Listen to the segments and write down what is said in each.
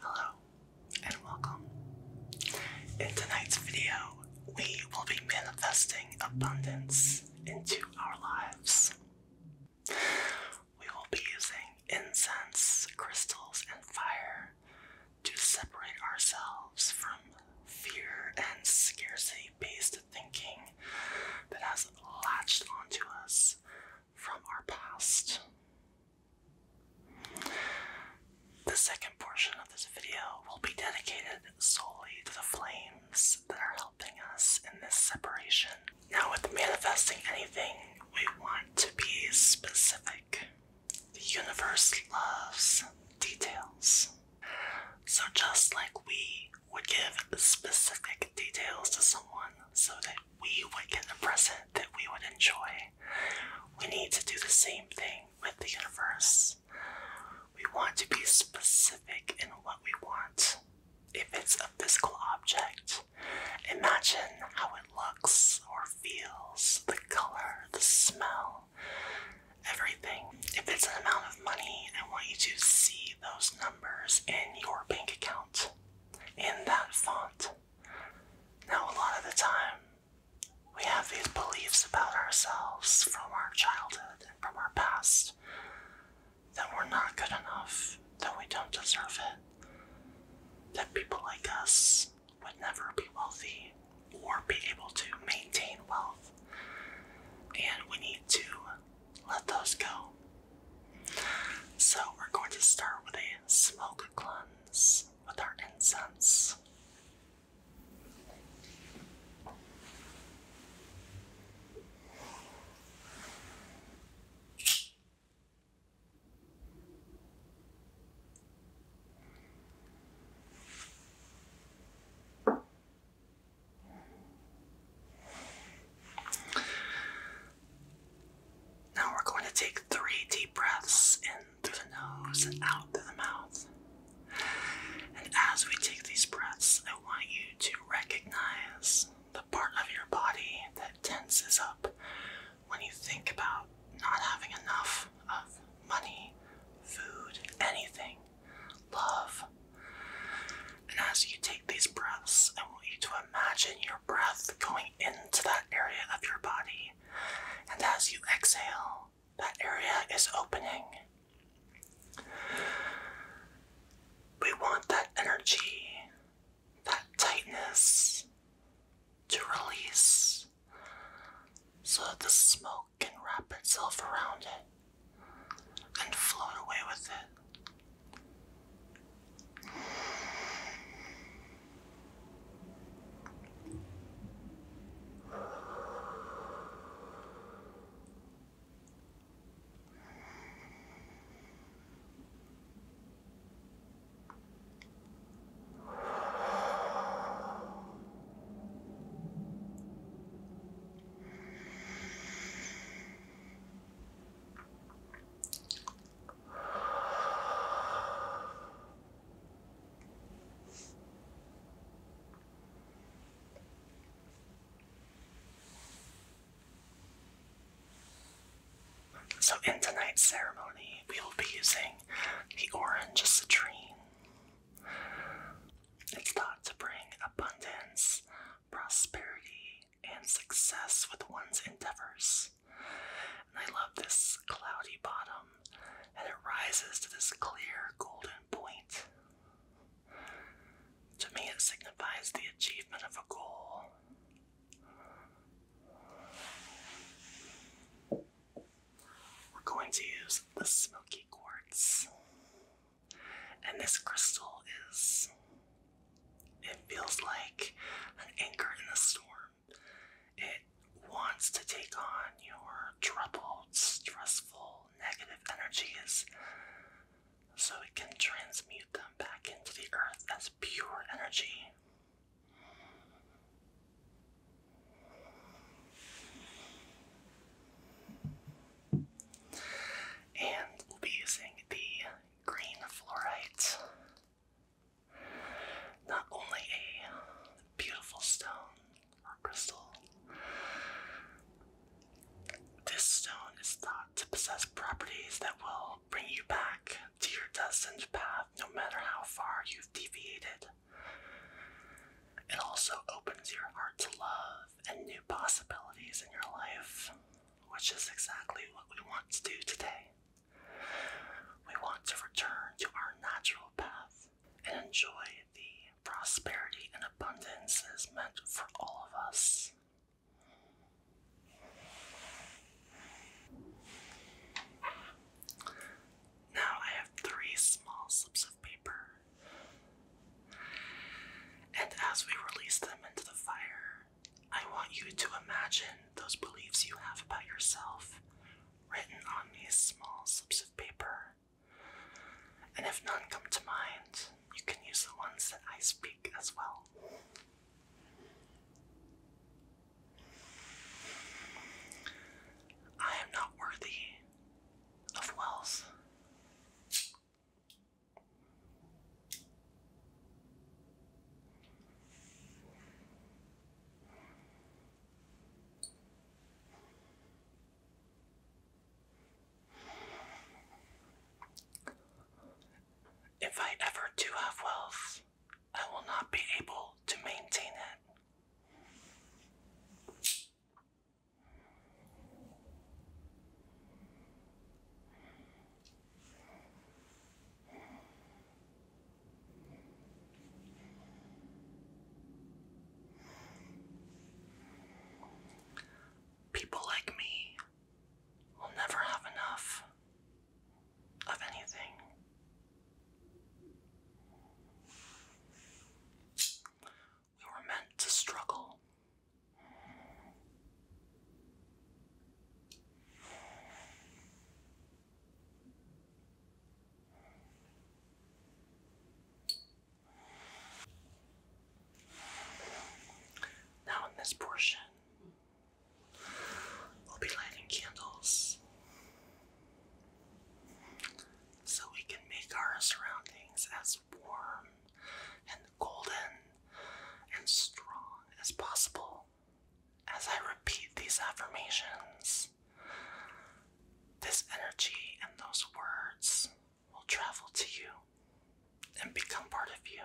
Hello and welcome. In tonight's video, we will be manifesting abundance into our lives. We will be using incense, crystals, and fire to separate ourselves from fear and scarcity based thinking that has latched onto us from our past. The second portion of this video will be dedicated solely to the flames that are helping us in this separation. Now, with manifesting anything, we want to be specific. The universe loves details. So, just like we would give specific details to someone so that we would get a present that we would enjoy, we need to do the same thing with the universe. We want to be specific in what we want. If it's a physical object, imagine how it looks or feels, the color, the smell everything. If it's an amount of money, I want you to see those numbers in your bank account in that font. Now, a lot of the time, we have these beliefs about ourselves from our childhood and from our past that we're not good enough, that we don't deserve it, that people like us would never be wealthy, or be able to maintain wealth. And we need to let those go. So we're going to start with a smoke cleanse with our incense. Now we're going to take three deep breaths in through the nose and out through the mouth. And as we take these breaths, I want you to recognize the part of your body that tenses up when you think about not having enough of money, food, anything love. And as you take these breaths, I want you to imagine your breath going into that area of your body. And as you exhale, that area is opening. We want that energy, that tightness to release so that the smoke bubble can wrap itself around it and float away with it. So, in tonight's ceremony, we will be using the orange citrine it's thought to bring abundance, prosperity, and success with one's endeavors. And I love this cloudy bottom, and it rises to this clear golden point. To me, it signifies the achievement of a goal. We're going to use the smoky quartz. And this crystal is. It feels like an anchor in a storm. It wants to take on your troubled, stressful, negative energies so it can transmute them back into the earth as pure energy. And we'll be using the green fluorite. Not only a beautiful stone or crystal, this stone is thought to possess properties that will bring you back to your destined path no matter how far you've deviated. It also opens your heart to love and new possibilities in your life, which is exactly what we want to do today. We want to return to our natural path and enjoy the prosperity and abundance that is meant for all of us. Now I have three small slips of paper and as we release them into the fire, I want you to imagine those beliefs you have about yourself written on these small slips of paper. And if none come to mind, you can use the ones that I speak as well. I am not worthy of wealth. If I ever do have wealth, I will not be able to maintain it. People like me will never have enough of anything. We were meant to struggle. Now, in this portion, we'll be lighting candles so we can make our surroundings as warm and golden and strong as possible. As I repeat these affirmations, this energy and those words will travel to you and become part of you.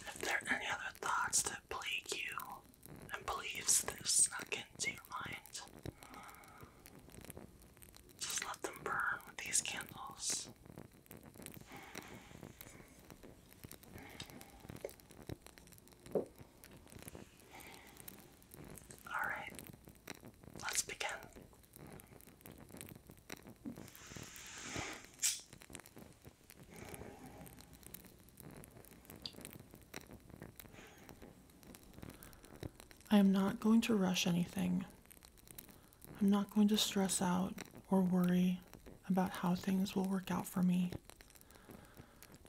If there are any other thoughts that plague you and beliefs that have snuck into your mind, just let them burn with these candles. Alright, let's begin. I am not going to rush anything. I'm not going to stress out or worry about how things will work out for me.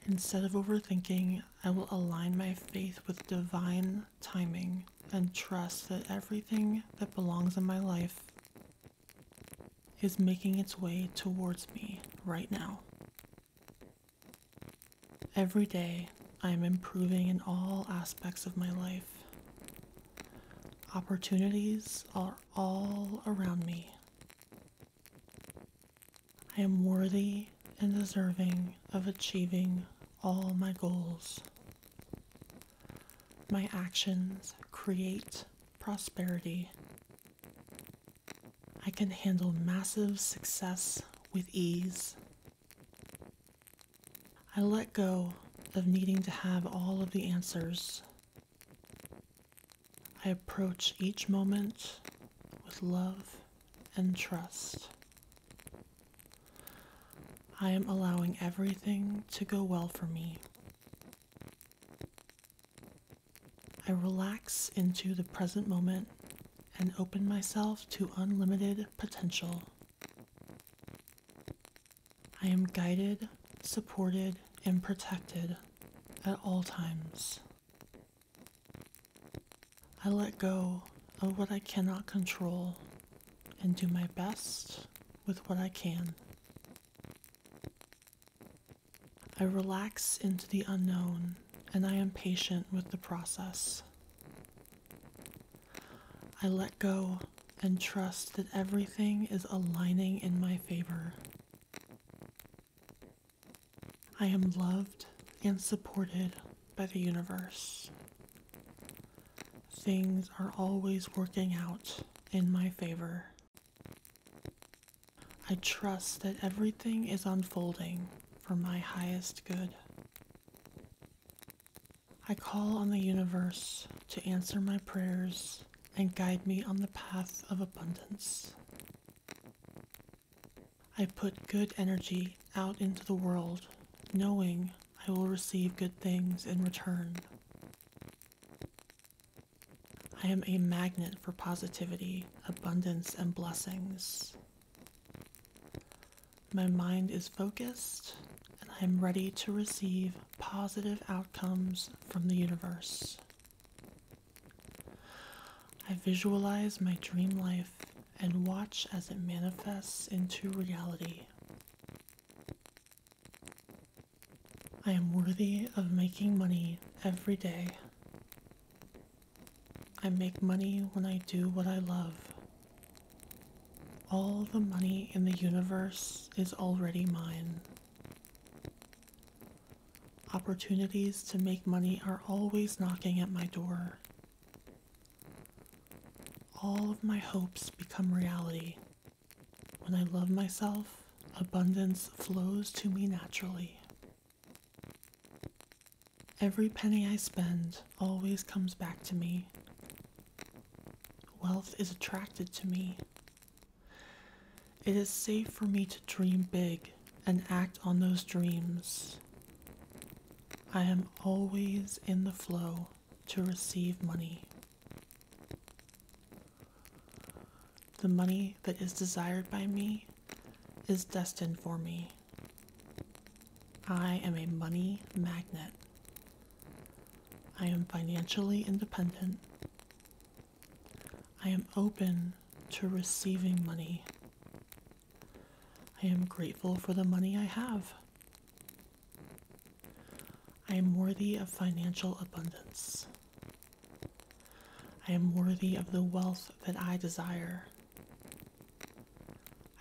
Instead of overthinking, I will align my faith with divine timing and trust that everything that belongs in my life is making its way towards me right now. Every day, I am improving in all aspects of my life. Opportunities are all around me. I am worthy and deserving of achieving all my goals. My actions create prosperity. I can handle massive success with ease. I let go of needing to have all of the answers. I approach each moment with love and trust. I am allowing everything to go well for me. I relax into the present moment and open myself to unlimited potential. I am guided, supported, and protected at all times. I let go of what I cannot control and do my best with what I can. I relax into the unknown and I am patient with the process. I let go and trust that everything is aligning in my favor. I am loved and supported by the universe. Things are always working out in my favor. I trust that everything is unfolding for my highest good. I call on the universe to answer my prayers and guide me on the path of abundance. I put good energy out into the world, knowing I will receive good things in return. I am a magnet for positivity, abundance, and blessings. My mind is focused, and I am ready to receive positive outcomes from the universe. I visualize my dream life and watch as it manifests into reality. I am worthy of making money every day. I make money when I do what I love. All the money in the universe is already mine. Opportunities to make money are always knocking at my door, all of my hopes become reality. When I love myself, abundance flows to me naturally. Every penny I spend always comes back to me. Wealth is attracted to me. It is safe for me to dream big and act on those dreams. I am always in the flow to receive money. The money that is desired by me is destined for me. I am a money magnet. I am financially independent. I am open to receiving money I am grateful for the money I have. I am worthy of financial abundance. I am worthy of the wealth that I desire.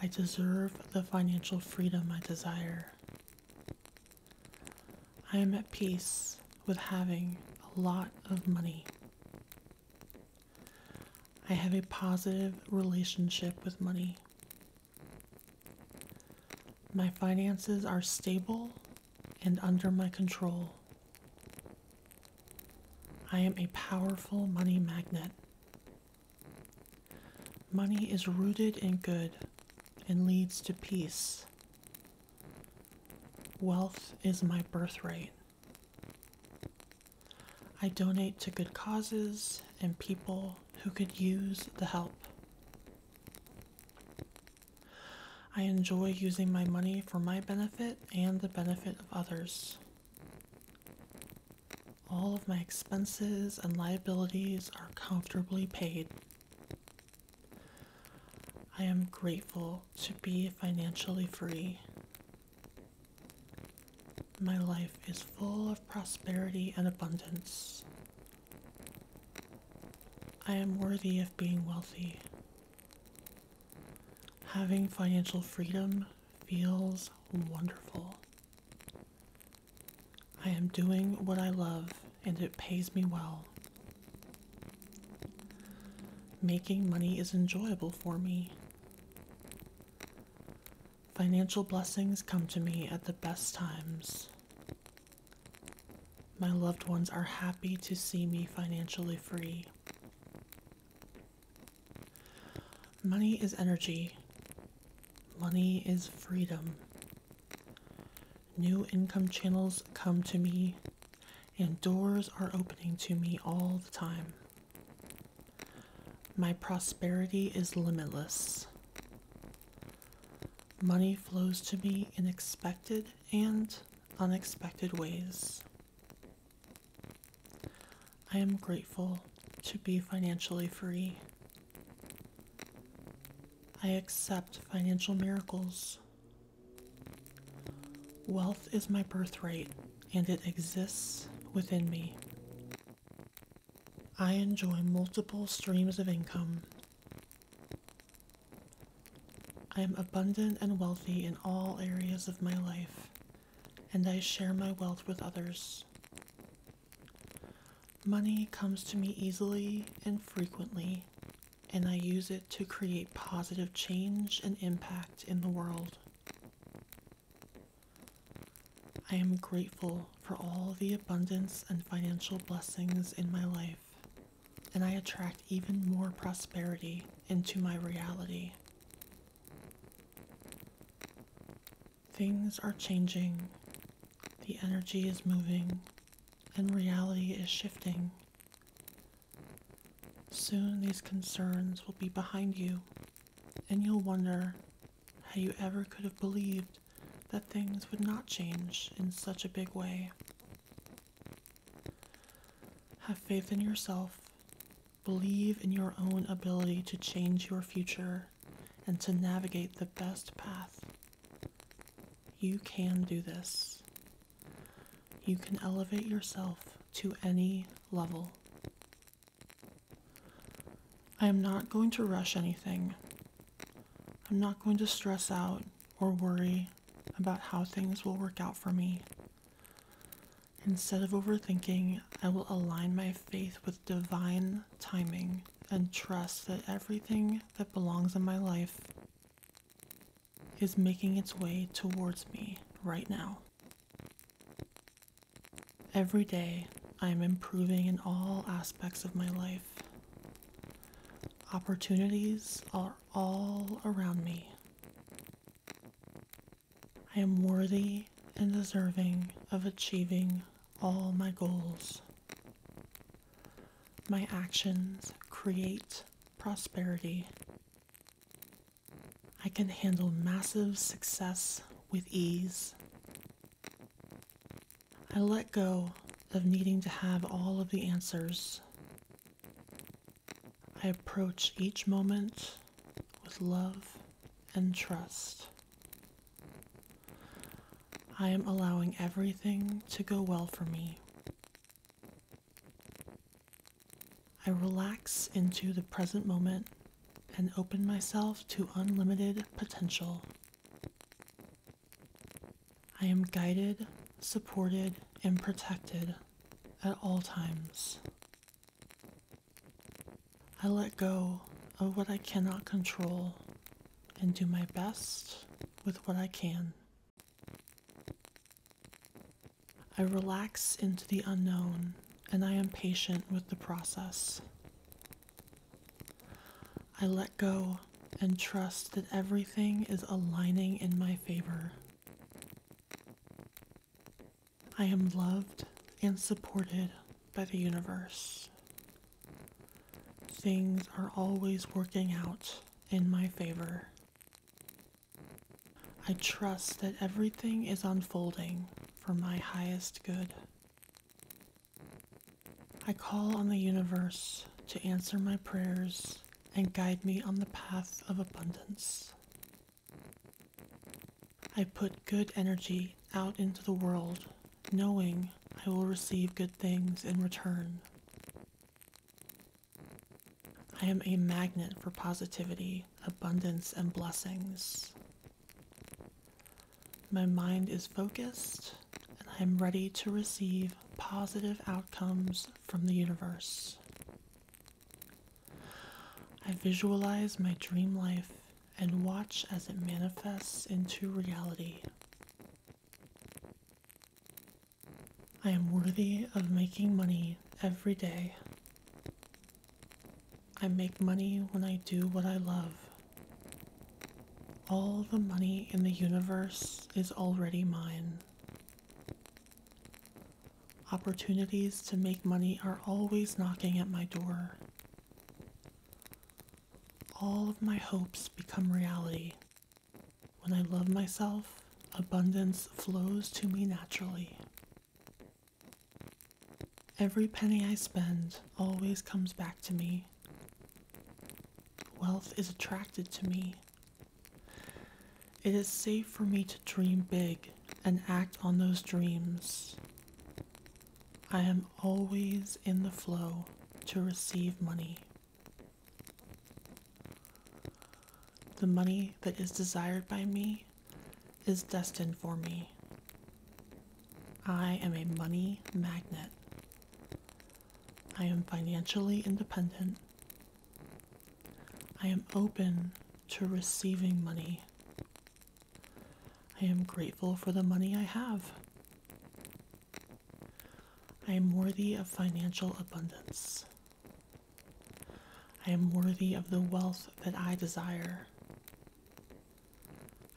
I deserve the financial freedom I desire. I am at peace with having a lot of money. I have a positive relationship with money. My finances are stable and under my control. I am a powerful money magnet. Money is rooted in good and leads to peace. Wealth is my birthright. I donate to good causes and people who could use the help. I enjoy using my money for my benefit and the benefit of others. All of my expenses and liabilities are comfortably paid. I am grateful to be financially free my life is full of prosperity and abundance. I am worthy of being wealthy. Having financial freedom feels wonderful. I am doing what I love and it pays me well. Making money is enjoyable for me. Financial blessings come to me at the best times. My loved ones are happy to see me financially free. Money is energy. Money is freedom. New income channels come to me, and doors are opening to me all the time. My prosperity is limitless. Money flows to me in expected and unexpected ways. I am grateful to be financially free. I accept financial miracles. Wealth is my birthright and it exists within me. I enjoy multiple streams of income. I am abundant and wealthy in all areas of my life, and I share my wealth with others. Money comes to me easily and frequently, and I use it to create positive change and impact in the world. I am grateful for all the abundance and financial blessings in my life, and I attract even more prosperity into my reality. Things are changing, the energy is moving, and reality is shifting. Soon these concerns will be behind you and you'll wonder how you ever could have believed that things would not change in such a big way. Have faith in yourself. Believe in your own ability to change your future and to navigate the best path. You can do this. You can elevate yourself to any level. I am not going to rush anything. I'm not going to stress out or worry about how things will work out for me. Instead of overthinking, I will align my faith with divine timing and trust that everything that belongs in my life is making its way towards me right now. Every day, I am improving in all aspects of my life. Opportunities are all around me. I am worthy and deserving of achieving all my goals. My actions create prosperity. I can handle massive success with ease. I let go of needing to have all of the answers. I approach each moment with love and trust. I am allowing everything to go well for me. I relax into the present moment and open myself to unlimited potential. I am guided, supported, and protected at all times. I let go of what I cannot control and do my best with what I can. I relax into the unknown and I am patient with the process. I let go and trust that everything is aligning in my favor. I am loved and supported by the universe. Things are always working out in my favor. I trust that everything is unfolding for my highest good. I call on the universe to answer my prayers and guide me on the path of abundance. I put good energy out into the world, knowing I will receive good things in return. I am a magnet for positivity, abundance, and blessings. My mind is focused, and I am ready to receive positive outcomes from the universe. I visualize my dream life and watch as it manifests into reality. I am worthy of making money every day. I make money when I do what I love. All the money in the universe is already mine. Opportunities to make money are always knocking at my door. All of my hopes become reality. When I love myself, abundance flows to me naturally. Every penny I spend always comes back to me. Wealth is attracted to me. It is safe for me to dream big and act on those dreams. I am always in the flow to receive money. The money that is desired by me is destined for me. I am a money magnet. I am financially independent. I am open to receiving money. I am grateful for the money I have. I am worthy of financial abundance. I am worthy of the wealth that I desire.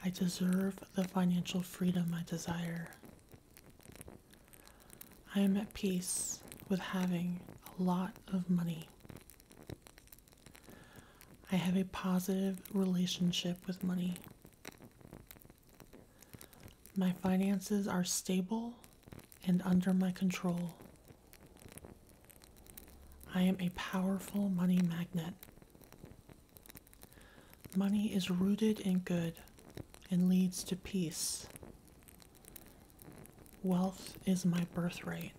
I deserve the financial freedom I desire. I am at peace with having a lot of money. I have a positive relationship with money. My finances are stable and under my control. I am a powerful money magnet. Money is rooted in good and leads to peace. Wealth is my birthright.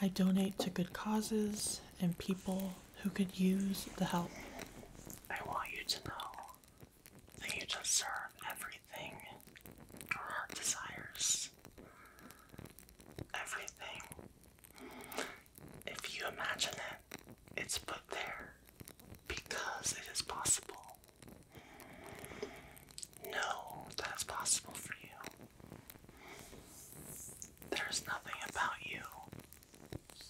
I donate to good causes and people who could use the help. I want you to know that you deserve everything your heart desires. Everything. If you imagine it, it's put there because it is possible. No, that is possible for you. There's nothing about you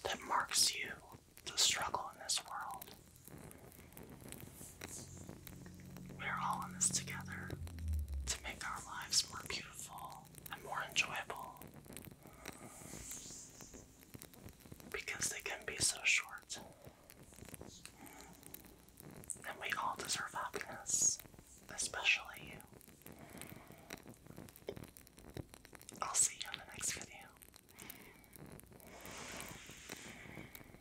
that marks you the struggle in this world. We're all in this together to make our lives more beautiful and more enjoyable. Because they can be so short. And we all deserve happiness, especially you. I'll see you in the next video.